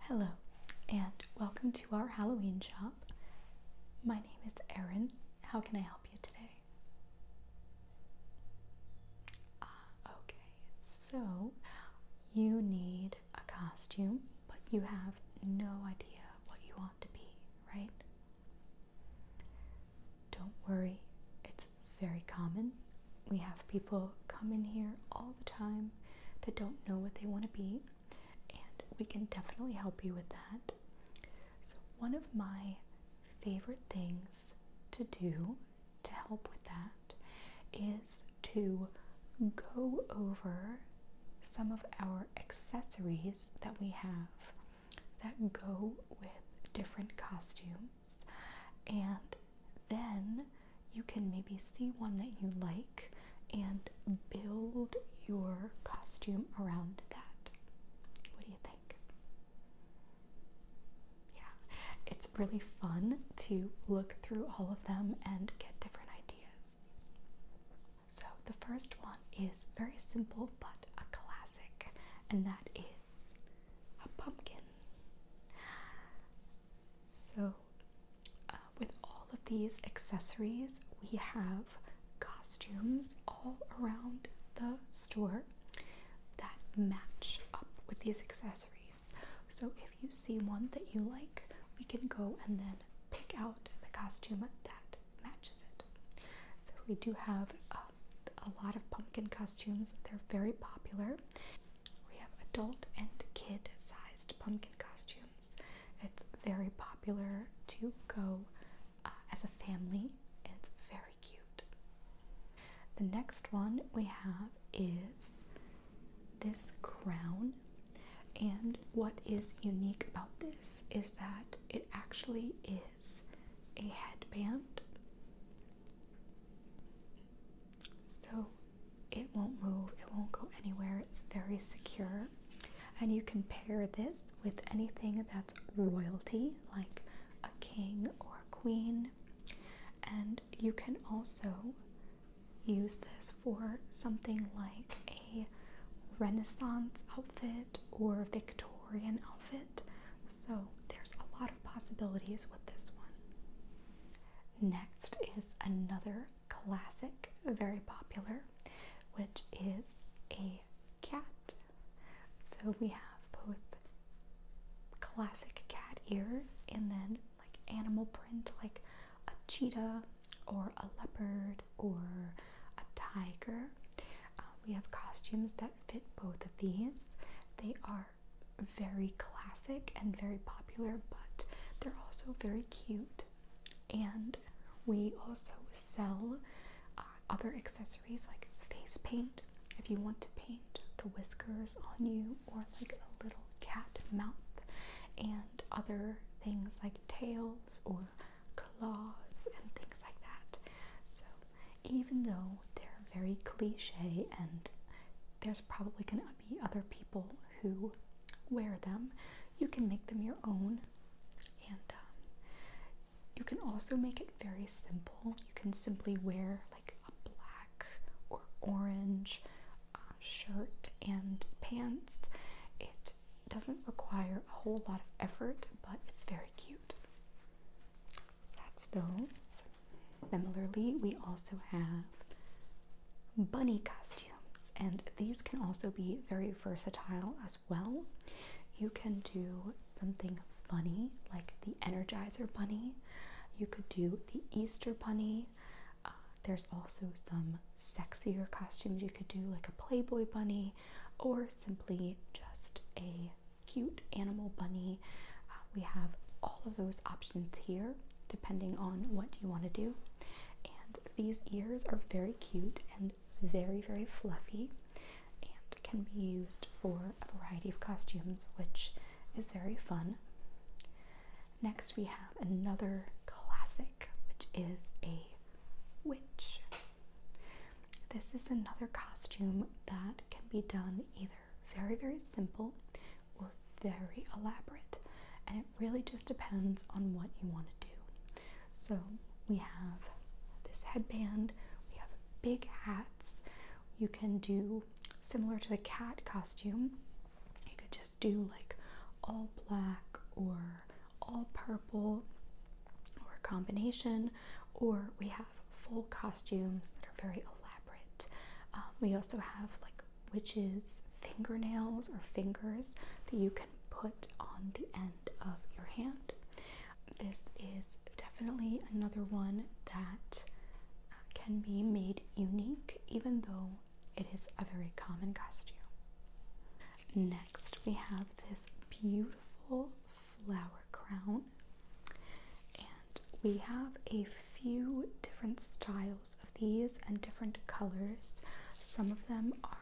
Hello, and welcome to our Halloween shop. My name is Erin. How can I help you today? Ah, okay, so you need a costume, but you have no idea what you want to be, right? Don't worry, it's very common we have people come in here all the time that don't know what they want to be, and we can definitely help you with that. So, one of my favorite things to do to help with that is to go over some of our accessories that we have that go with different costumes and then you can maybe see one that you like and build your costume around that. What do you think? Yeah, it's really fun to look through all of them and get different ideas. So, the first one is very simple but a classic, and that is a pumpkin. So, uh, with all of these accessories, we have costumes all around the store that match up with these accessories. So, if you see one that you like, we can go and then pick out the costume that matches it. So, we do have uh, a lot of pumpkin costumes, they're very popular. We have adult and kid sized pumpkin costumes. It's very popular to go uh, as a family, it's very cute. The next one we have is this crown. And what is unique about this is that it actually is a headband. So it won't move, it won't go anywhere, it's very secure. And you can pair this with anything that's royalty, like a king or a queen. And you can also use this for something like a Renaissance outfit or Victorian outfit. So there's a lot of possibilities with this one. Next is another classic, very popular, which is a cat. So we have both classic cat ears and then like animal print, like a cheetah or a leopard or a tiger. Um, we have costumes that fit both of these. They are very classic and very popular but they're also very cute. And we also sell uh, other accessories like face paint if you want to paint the whiskers on you or like a little cat mouth, and other things like tails or claws and things like that. So, even though they're very cliche and there's probably going to be other people who wear them. You can make them your own, and um, you can also make it very simple. You can simply wear like a black or orange uh, shirt and pants. It doesn't require a whole lot of effort, but it's very cute. that's those. Similarly, we also have bunny costumes and these can also be very versatile as well. You can do something funny like the Energizer Bunny, you could do the Easter Bunny. Uh, there's also some sexier costumes you could do, like a Playboy Bunny, or simply just a cute animal bunny. Uh, we have all of those options here depending on what you want to do. And these ears are very cute and very, very fluffy and can be used for a variety of costumes, which is very fun. Next, we have another classic, which is a witch. This is another costume that can be done either very, very simple, or very elaborate. And it really just depends on what you want to do. So we have this headband, we have big hats. You can do similar to the cat costume, you could just do like all black or all purple or a combination, or we have full costumes that are very elaborate. Um, we also have like which is fingernails or fingers that you can put on the end of your hand. This is definitely another one that uh, can be made unique, even though it is a very common costume. Next, we have this beautiful flower crown, and we have a few different styles these and different colors. Some of them are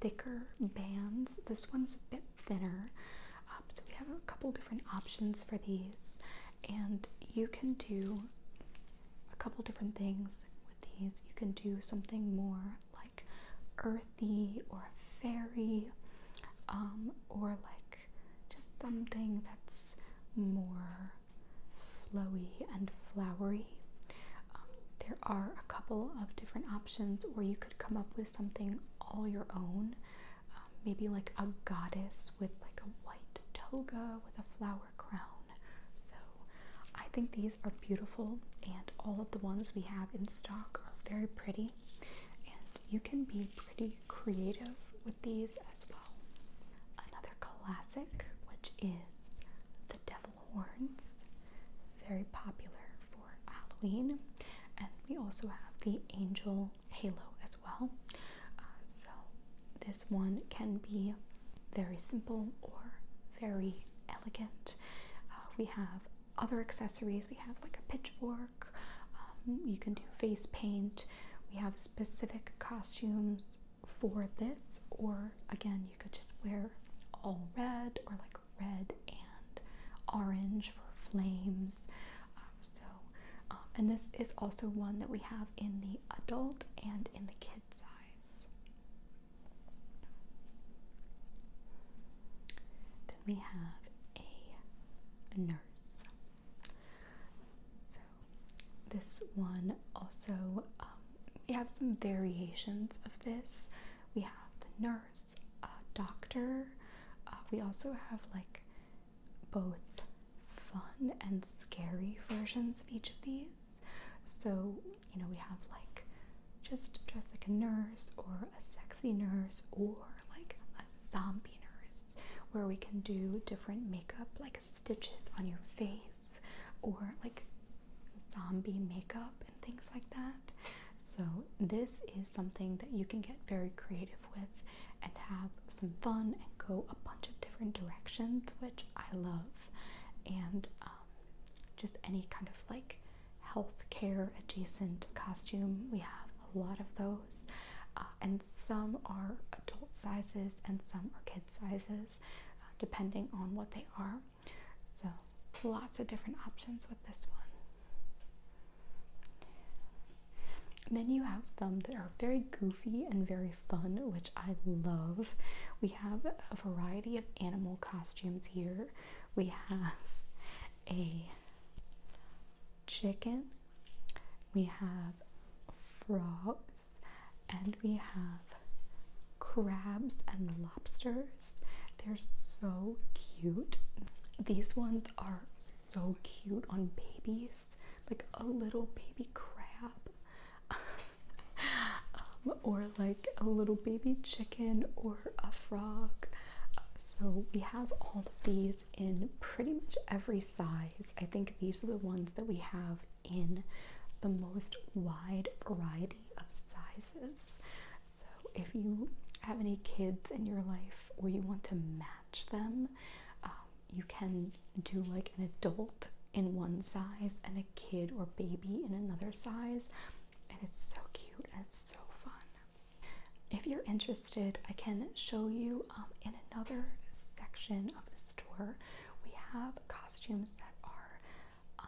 thicker bands. This one's a bit thinner. Um, so we have a couple different options for these, and you can do a couple different things with these. You can do something more like earthy or fairy, um, or like just something that's more flowy and flowery. Um, there are a couple of different options, or you could come up with something all your own. Um, maybe like a goddess with like a white toga with a flower crown. So I think these are beautiful, and all of the ones we have in stock are very pretty. And you can be pretty creative with these as well. Another classic, which is the devil horns, very popular for Halloween, and we also have the angel halo as well. Uh, so, this one can be very simple or very elegant. Uh, we have other accessories, we have like a pitchfork, um, you can do face paint, we have specific costumes for this, or again, you could just wear all red or like red and orange for flames. Um, so, um, and this is also one that we have in the adult and in the kid size. Then we have a nurse. So this one also, um, we have some variations of this. We have the nurse, doctor. Uh, we also have like both fun and scary versions of each of these. So, you know, we have like just dressed like a nurse or a sexy nurse or like a zombie nurse where we can do different makeup like stitches on your face or like zombie makeup and things like that. So, this is something that you can get very creative with and have some fun and go a bunch of different directions, which I love. And um, just any kind of like healthcare adjacent costume, we have a lot of those. Uh, and some are adult sizes and some are kid sizes. Uh, depending on what they are. So, lots of different options with this one. then you have some that are very goofy and very fun, which I love. We have a variety of animal costumes here. We have a chicken, we have frog, and we have crabs and lobsters. They're so cute. These ones are so cute on babies, like a little baby crab, um, or like a little baby chicken, or a frog. so, we have all of these in pretty much every size. I think these are the ones that we have in the most wide variety of sizes. So, if you have any kids in your life or you want to match them, um, you can do like an adult in one size and a kid or baby in another size, and it's so cute and it's so fun. If you're interested, I can show you um, in another section of the store. We have costumes that are um,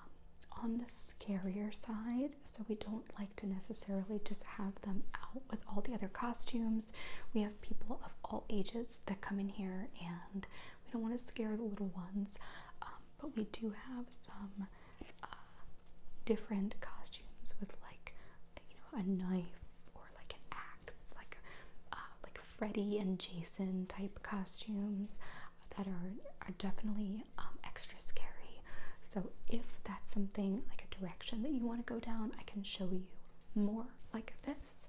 on the scarier side, so we don't like to necessarily just have them out with all the other costumes. We have people of all ages that come in here, and we don't want to scare the little ones, um, but we do have some uh, different costumes with like you know a knife or like an axe, like uh, like Freddy and Jason type costumes that are, are definitely um, extra scary. So, if that's something like a direction that you want to go down, I can show you more like this.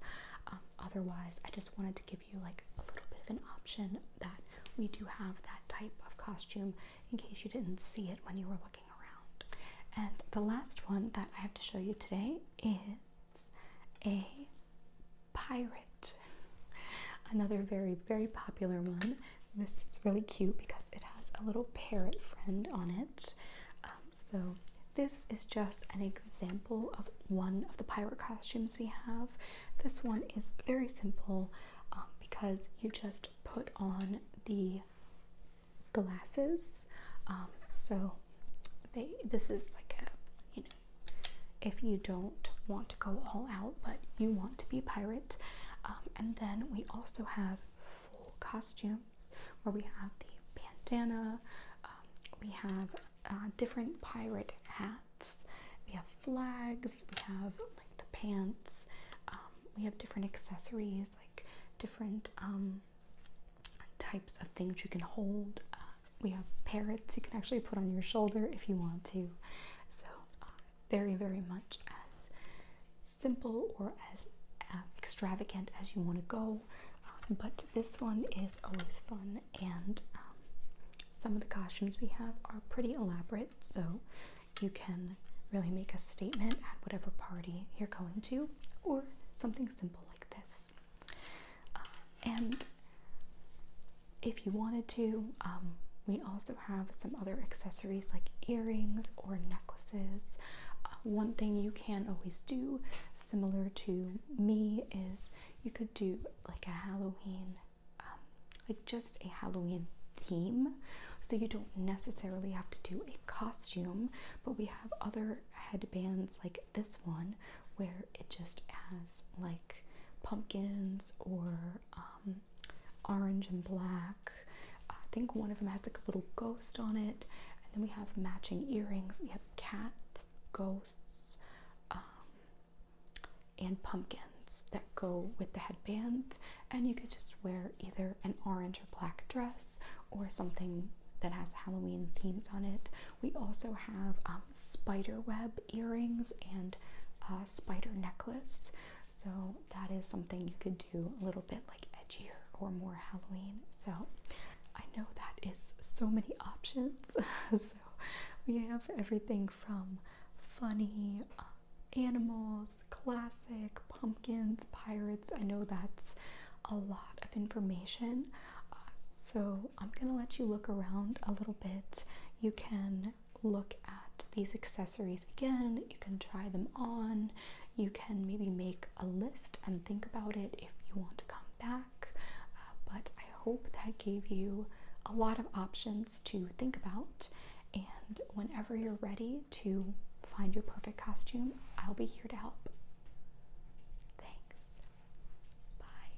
Um, otherwise, I just wanted to give you like a little bit of an option that we do have that type of costume in case you didn't see it when you were looking around. And the last one that I have to show you today is a pirate. Another very, very popular one. This is really cute because it has a little parrot friend on it. Um, so this is just an example of one of the pirate costumes we have. This one is very simple um, because you just put on the glasses. Um, so this is like a, you know, if you don't want to go all out but you want to be a pirate. Um, and then we also have full costumes where we have the bandana, um, we have uh, different pirate hats, we have flags, we have like the pants, um, we have different accessories, like different types of things you can hold. Uh, we have parrots you can actually put on your shoulder if you want to. So, uh, very, very much as simple or as uh, extravagant as you want to go. Uh, but this one is always fun, and um, some of the costumes we have are pretty elaborate, so you can really make a statement at whatever party you're going to, or something simple like this. Uh, and if you wanted to um, we also have some other accessories like earrings or necklaces uh, one thing you can always do similar to me is you could do like a halloween um, like just a halloween theme so you don't necessarily have to do a costume but we have other headbands like this one where it just has like pumpkins or um, orange and black. I think one of them has like a little ghost on it, and then we have matching earrings. We have cats, ghosts, um, and pumpkins that go with the headbands. And you could just wear either an orange or black dress or something that has Halloween themes on it. We also have um, spider web earrings and uh, spider necklace. So that is something you could do a little bit like edgier or more Halloween. So I know that is so many options. so we have everything from funny uh, animals, classic, pumpkins, pirates. I know that's a lot of information. Uh, so I'm going to let you look around a little bit. You can look at these accessories again, you can try them on, you can maybe make a list and think about it if you want to come back. Uh, but I hope that gave you a lot of options to think about. And whenever you're ready to find your perfect costume, I'll be here to help. Thanks. Bye.